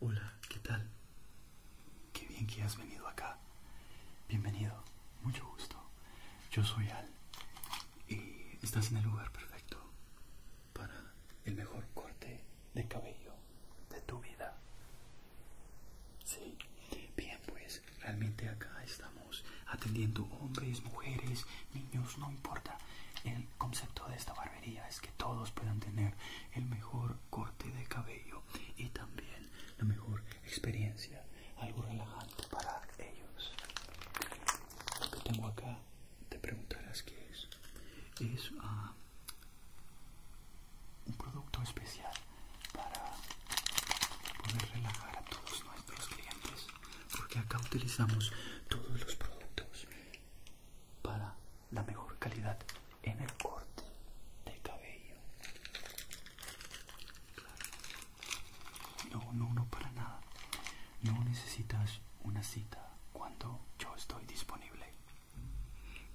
Hola, ¿qué tal? Qué bien que has venido acá. Bienvenido, mucho gusto. Yo soy Al y estás en el lugar perfecto para el mejor corte de cabello de tu vida. Sí, bien pues, realmente acá estamos atendiendo hombres, mujeres, niños, no importa. El concepto de esta es que todos puedan tener el mejor corte de cabello y también la mejor experiencia, algo relajante para ellos. Lo que tengo acá, te preguntarás qué es. Es ah, un producto especial para poder relajar a todos nuestros clientes, porque acá utilizamos todos los productos para la mejor calidad en el corte de cabello. No, no, no para nada. No necesitas una cita cuando yo estoy disponible.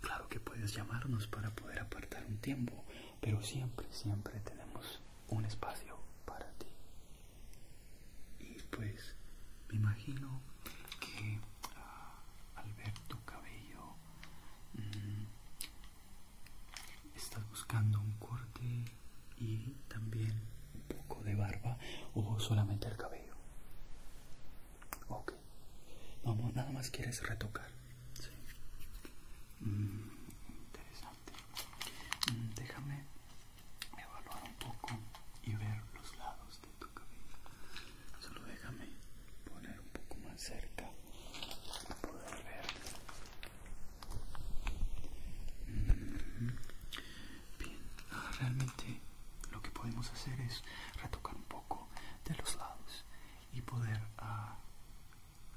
Claro que puedes llamarnos para poder apartar un tiempo, pero siempre, siempre tenemos un espacio para ti. Y pues me imagino que ah, al ver tu cabello mm, estás buscando un corte y también un poco de barba o solamente el cabello ok vamos nada más quieres retocar mm, interesante mm, déjame evaluar un poco y ver los lados Solo déjame poner un poco más cerca para poder ver. Mm-hmm. Bien, ah, realmente lo que podemos hacer es retocar un poco de los lados y poder ah,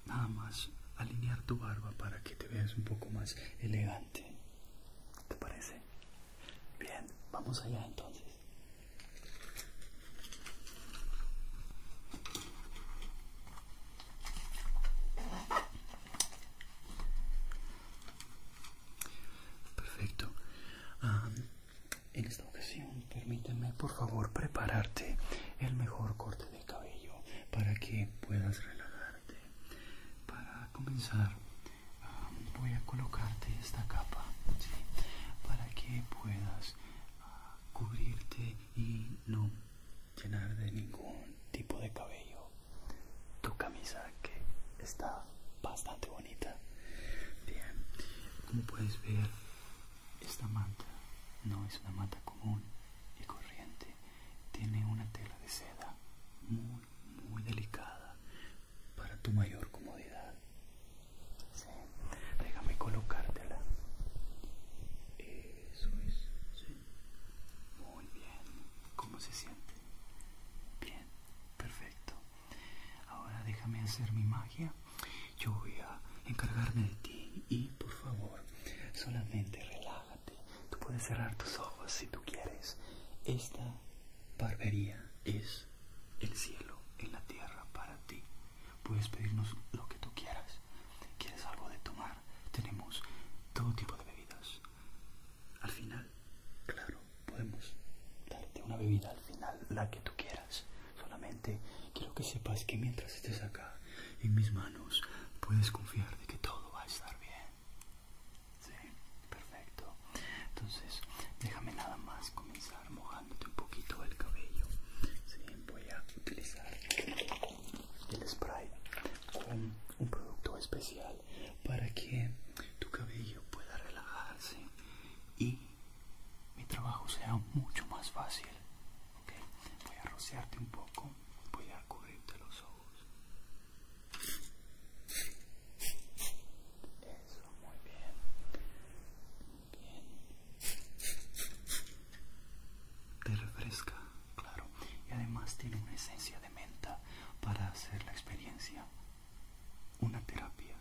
nada más alinear tu barba para que te veas un poco más elegante. ¿Te parece? Bien, vamos allá entonces. Perfecto. en esta ocasión, permíteme por favor prepararte el mejor corte de cabello para que puedas relajarte. Para comenzar, voy a colocarte esta capa para que puedas ah, cubrirte y no llenar de ningún tipo de cabello tu camisa que está bastante bonita. Bien, como puedes ver, esta manta no es una manta común y corriente, tiene una tela de seda muy, muy delicada, para tu mayor comodidad. Déjame colocártela. Eso es. Muy bien. ¿Cómo se siente? Bien. Perfecto. Ahora déjame hacer mi magia. Yo voy a encargarme de ti y por favor, solamente relájate. Tú puedes cerrar tus ojos si tú quieres. Esta Barbería es el cielo en la tierra para ti. Puedes pedirnos lo que tú quieras. ¿Quieres algo de tomar? Tenemos todo tipo de bebidas. Al final, claro, podemos darte una bebida al final, la que tú quieras. Solamente quiero que sepas que mientras estés acá, en mis manos, puedes confiar de que todo va a estar bien. Sí, perfecto. Entonces, déjame nada más comenzar mojándote un poquito el cabello. voy a utilizar el spray con un producto especial para que tu cabello pueda relajarse y mi trabajo sea mucho más fácil. Voy a rociarte un poco, voy a cubrirte los ojos muy bien. Te refresca, claro. Y además tiene una esencia de menta para hacer la experiencia. Una terapia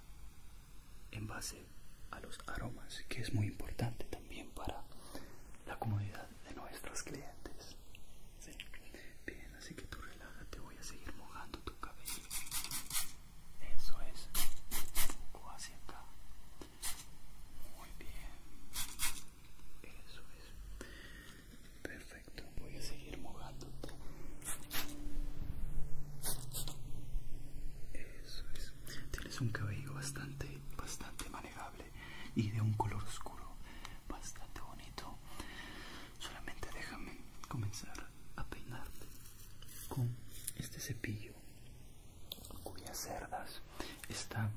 en base a los aromas, que es muy importante también para la comodidad de nuestros clientes. Bien, así que tú relájate, voy a seguir mojando tu cabello. Eso es. Un poco hacia acá. Muy bien. Eso es. Perfecto. Voy a seguir mojándote. Eso es. Tienes un cabello bastante, bastante manejable y de un color oscuro. Bastante bonito. Solamente déjame comenzar a peinarte con este cepillo cuyas cerdas están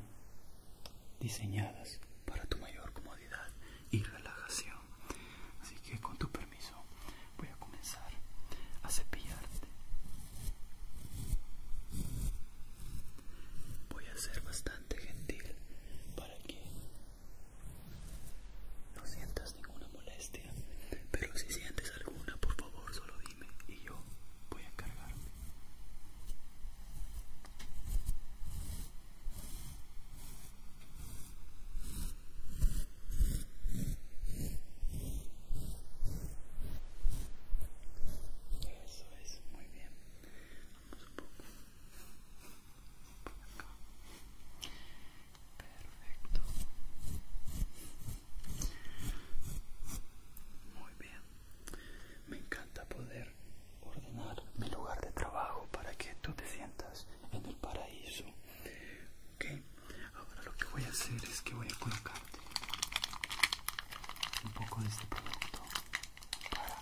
diseñadas para tu mayor comodidad y relajación. Así que con tu permiso voy a comenzar a cepillarte. Voy a ser bastante gentil para que no sientas ninguna molestia, pero si sientes alguna, por favor, solo dime y yo voy a encargarme. Eso es muy bien perfecto muy bien me encanta poder ordenar mi lugar de trabajo para que tú te sientas en el paraíso ok ahora lo que voy a hacer es que voy a colocarte un poco de este producto para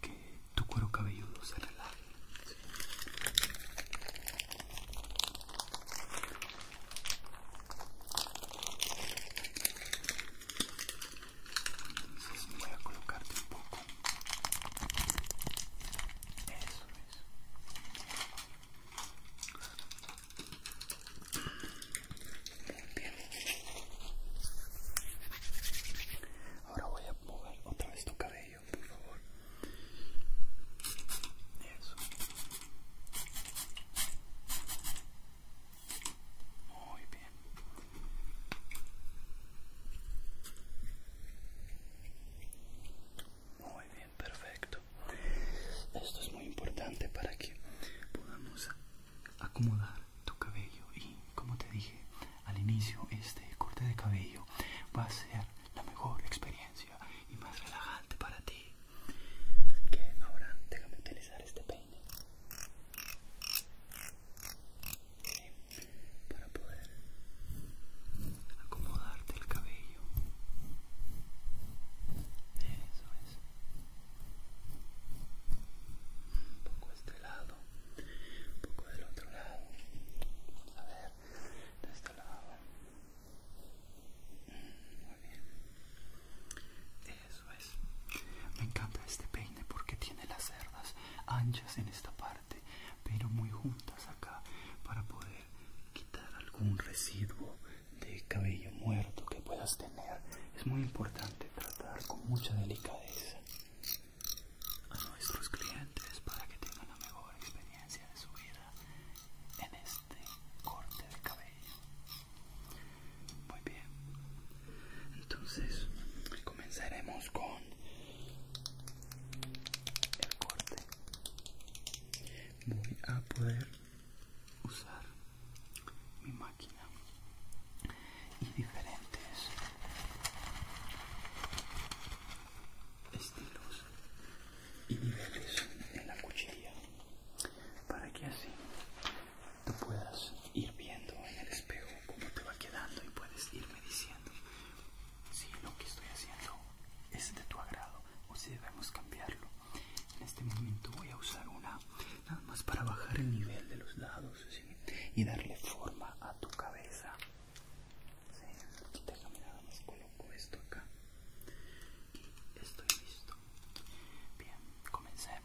que tu cuero cabelludo se relaje entonces voy a colocarte un poco. Eso es. Muy bien. Ahora voy a mover otra vez tu cabello. Muy bien. Muy bien, perfecto. Esto es muy importante para que podamos acomodar tu cabello y como te dije al inicio este corte de cabello va a ser la mejor experiencia y más relajante para ti. que ahora a utilizar este peine para poder acomodarte el cabello. Eso es. Un poco de este lado, un poco del otro lado. A ver, de este lado. Muy bien. Eso es. Me encanta este peine porque tiene las cerdas anchas en esta parte, pero muy juntas acá para poder quitar algún residuo de cabello muerto que puedas tener. Es muy importante tratar con mucha delicadeza a nuestros clientes para que tengan la mejor experiencia de su vida en este corte de cabello muy bien entonces comenzaremos con el corte voy a poder usar mi máquina y diferentes estilos y metes en la cuchilla para que así tú puedas ir viendo en el espejo cómo te va quedando y puedes irme diciendo si lo que estoy haciendo es de tu agrado o si debemos cambiarlo. En este momento voy a usar una nada más para bajar el nivel de los lados y darle forma a tu cabeza. Sí, déjame nada me coloco esto acá y estoy listo. Bien, comencemos.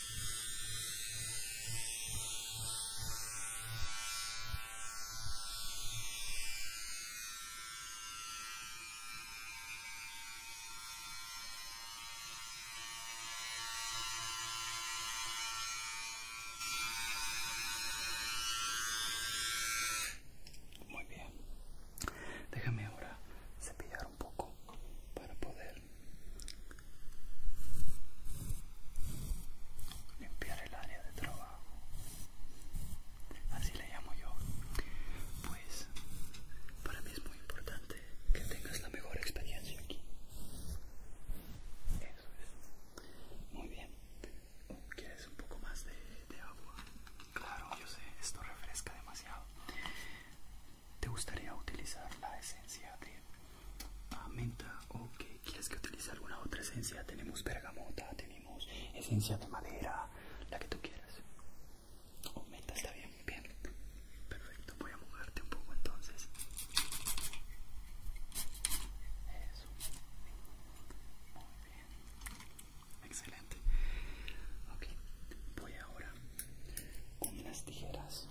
Muy bien, déjame ahora cepillar un poco para poder limpiar el área de trabajo así le llamo yo pues para mí es muy importante que tengas la mejor experiencia aquí eso es muy bien quieres un poco más de, agua claro yo sé esto refresca demasiado te gustaría utilizar la esencia de ah, menta, ok. ¿Quieres que utilice alguna otra esencia? Tenemos bergamota, tenemos esencia de madera, la que tú quieras. Oh, menta, está bien, bien. Perfecto, voy a mojarte un poco entonces. Eso. Muy bien. Excelente. Ok, voy ahora con las tijeras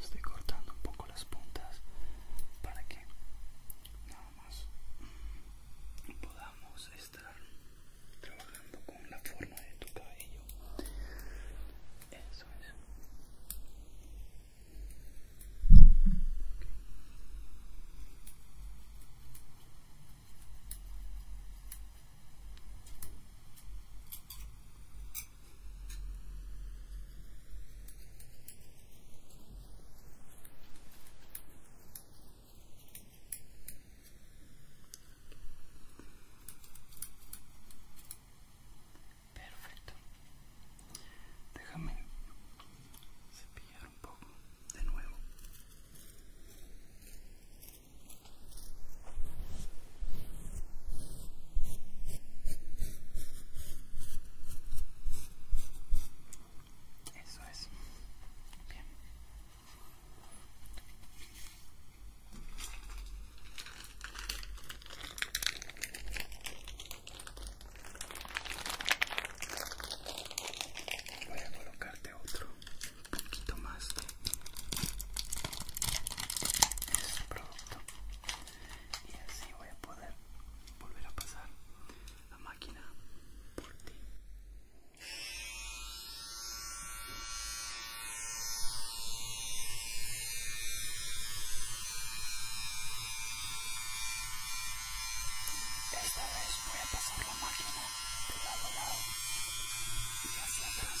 Estoy cortando un poco las puntas para que nada más podamos estar trabajando con la forma de tu cabello. Eso Perfecto. Déjame cepillar un poco de nuevo. Eso es. Bien. Voy a colocarte otro poquito más de este producto y así voy a poder volver a pasar la máquina por ti. Esta vez voy a pasar la máquina de lado a lado y hacia atrás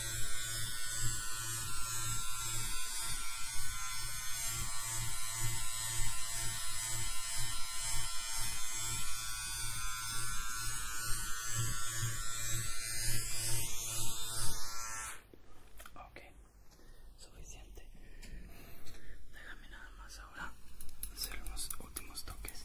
Ok, suficiente. Déjame nada más ahora hacer los últimos toques.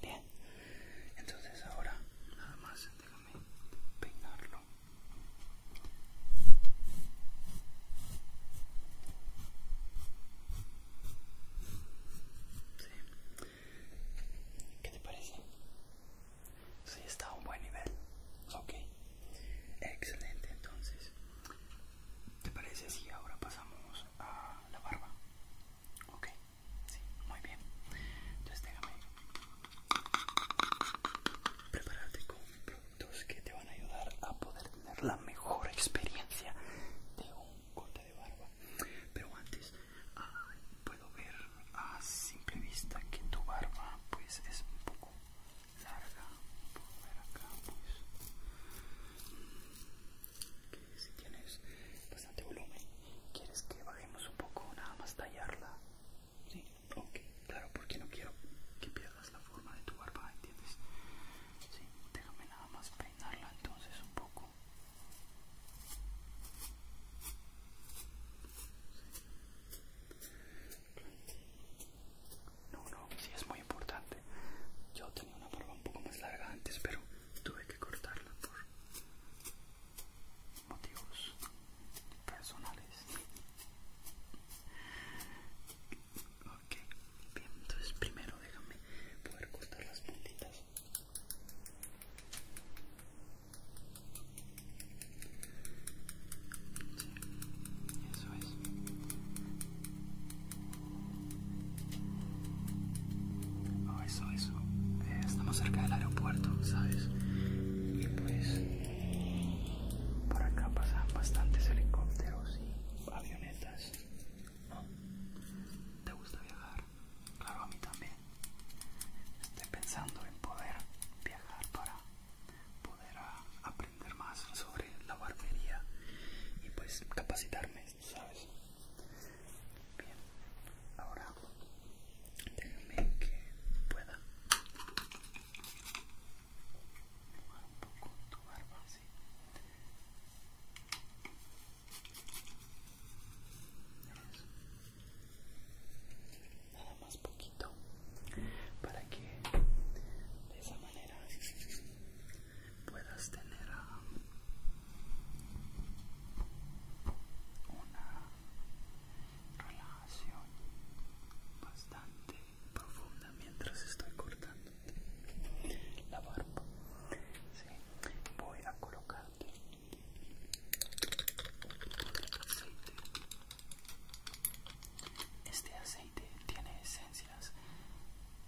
Bien, entonces ahora nada más déjame peinarlo. Sí. ¿Qué te parece? Sí, está a un buen nivel. Ok. Excelente, entonces. ¿Te parece si ahora pasamos a la barba? Ok, sí, muy bien. Entonces déjame prepararte con productos que te van a ayudar a poder tener la mejor experiencia de un corte de barba. Pero antes, puedo ver a simple vista que tu barba pues es un poco larga. acá pues si tienes bastante volumen quieres que bajemos un poco nada más tallarla sí claro porque no quiero que pierdas la forma de tu barba entiendes sí déjame nada más peinarla entonces un poco no, no, sí es muy importante. Yo tenía una barba un poco más larga antes, pero tuve que cortarla por motivos personales. Ok, bien, entonces primero déjame poder cortar las puntitas. Sí, eso es. Oh, eso, eso. Eh, estamos cerca del aeropuerto, ¿sabes? Y pues por acá pasan bastantes helicópteros y avionetas. ¿Te gusta viajar? Claro, a mí también. Estoy pensando en poder viajar para poder aprender más sobre la barbería y pues capacitarme ¿sabes? Bien, ahora déjame que pueda tomar un poco tu barba así. Nada más poquito para que de esa manera puedas tener um, una relación bastante profunda mientras estoy cortando la barba. Voy a colocar Este aceite tiene esencias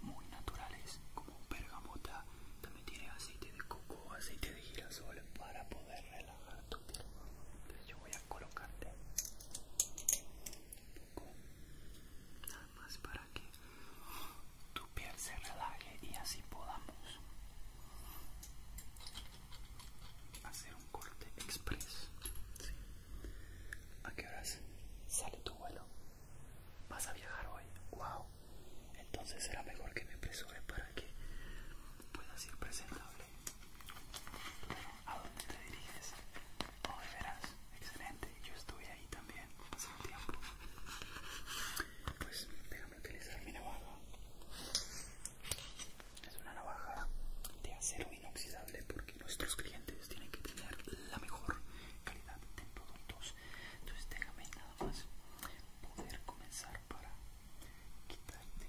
muy naturales como bergamota, también tiene aceite de coco, aceite de girasol para poder relajar tu piel. Entonces yo voy a colocarte un poco, nada más para que tu piel se relaje y así podamos hacer un corte express. ¿A qué horas sale tu vuelo? ¿Vas a viajar hoy? ¡Wow! entonces será mejor que me apresure para que pueda ser presentable. ¿A dónde te diriges? Oh, de veras, excelente, yo estuve ahí también hace un tiempo. Pues déjame utilizar mi navaja. Es una navaja de acero inoxidable porque nuestros clientes tienen que tener la mejor calidad de productos entonces déjame nada más poder comenzar para quitarte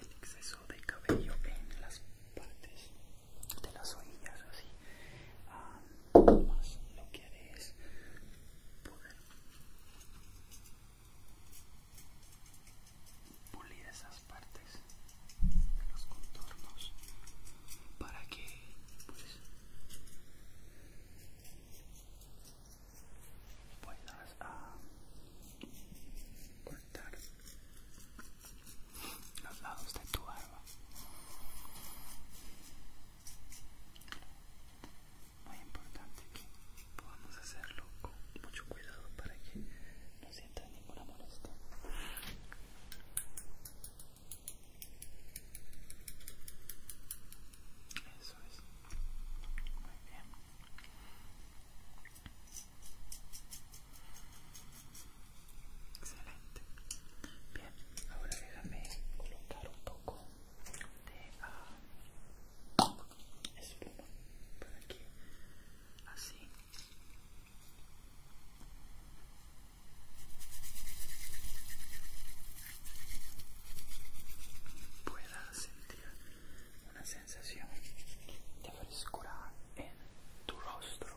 el exceso de cabello en las partes de las orejas así ah, nada más lo que haré es poder pulir esas partes de los contornos para que pues Ah, voy cortar los lados de tu barba muy importante que podamos hacerlo con mucho cuidado para que no sientas ninguna molestia eso es. Muy bien. Excelente. Bien, ahora déjame colocar un poco de espuma por aquí. Así. Pueda sentir una sensación de frescura en tu rostro.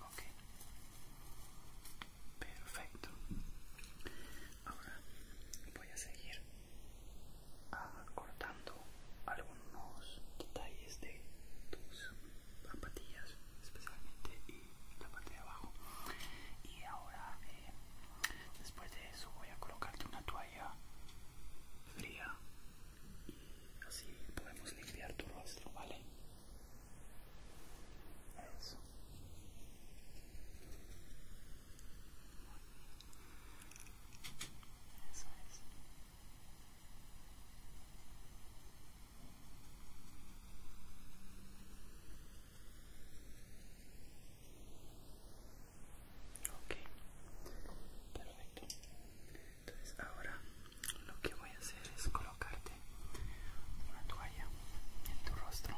Ok. Perfecto. Ahora voy a seguir cortando algunos detalles de tus zapatillas, especialmente y la parte de abajo. Y ahora, eh, después de eso, voy a colocarte una toalla fría así podemos limpiar tu rostro, ¿vale? Eso. Eso Ok, perfecto. Entonces ahora lo que voy a hacer es colocarte una toalla en tu rostro,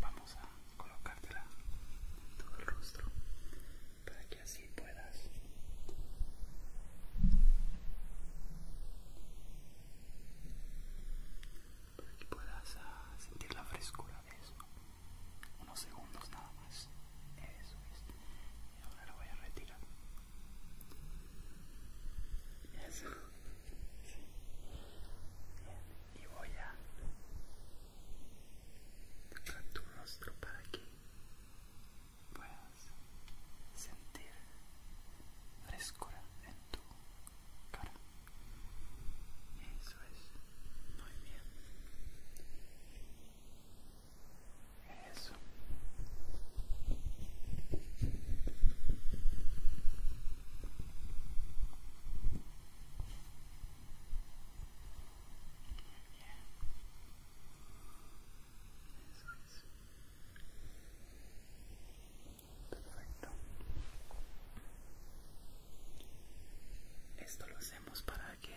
Vamos a colocártela en todo el rostro para que así puedas para que puedas ah, sentir la frescura de eso unos segundos nada más eso es y ahora lo voy a retirar eso y voy a tocar tu rostro para que puedas sentir frescura en tu cara eso es muy bien eso. Eso es. Perfecto. Esto lo hacemos para qué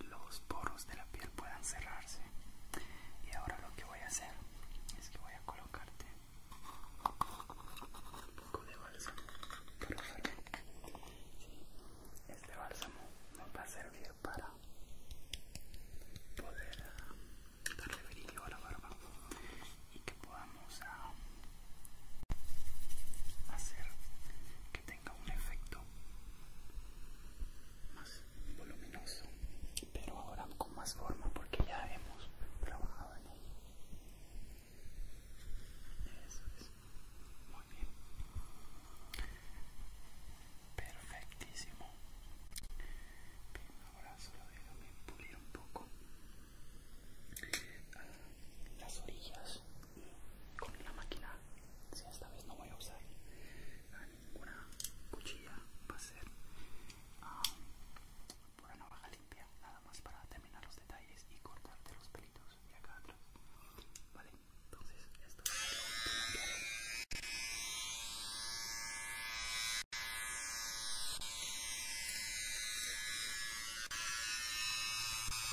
los poros de la piel puedan cerrarse y ahora lo que voy a hacer es que voy a colocarte un poco de bálsamo pero este bálsamo nos va a servir para poder ah, darle brillo a la barba y que podamos ah, hacer tenga un efecto más voluminoso pero ahora con más forma porque ya hemos trabajado en ello eso es muy bien perfectísimo pero ahora solo déjame pulir un poco ah, las orillas con la máquina si esta vez no voy a usar ninguna cuchilla va a ser ah, um, una navaja limpia nada más para terminar los detalles y cortarte los pelitos de acá atrás vale entonces esto es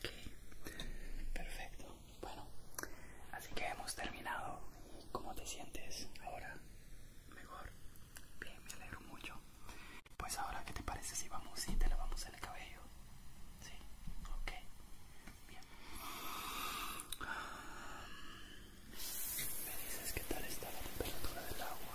Ok, perfecto. Bueno, así que hemos terminado. cómo te sientes ahora? Mejor. Bien, me alegro mucho. Pues ahora, ¿qué te parece si vamos y te lavamos el cabello? Sí, ok. Bien. Me dices qué tal está la temperatura del agua.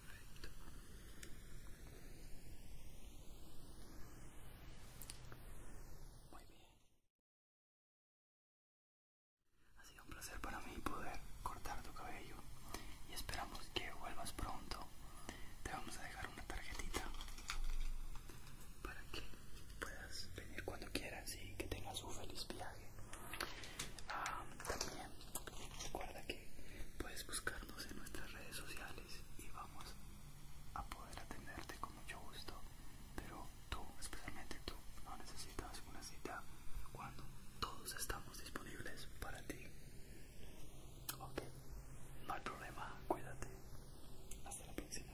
muy bien ha sido un placer para mí poder cortar tu cabello y esperamos que vuelvas pronto te vamos a dejar una tarjetita para que puedas venir cuando quieras y que tengas un feliz viaje ah, también recuerda que puedes buscarnos en nuestras redes sociales y vamos a poder atenderte con mucho gusto. Pero tú, especialmente tú, no necesitas una cita cuando todos estamos disponibles para ti. Ok, no hay problema, cuídate. Hasta la próxima.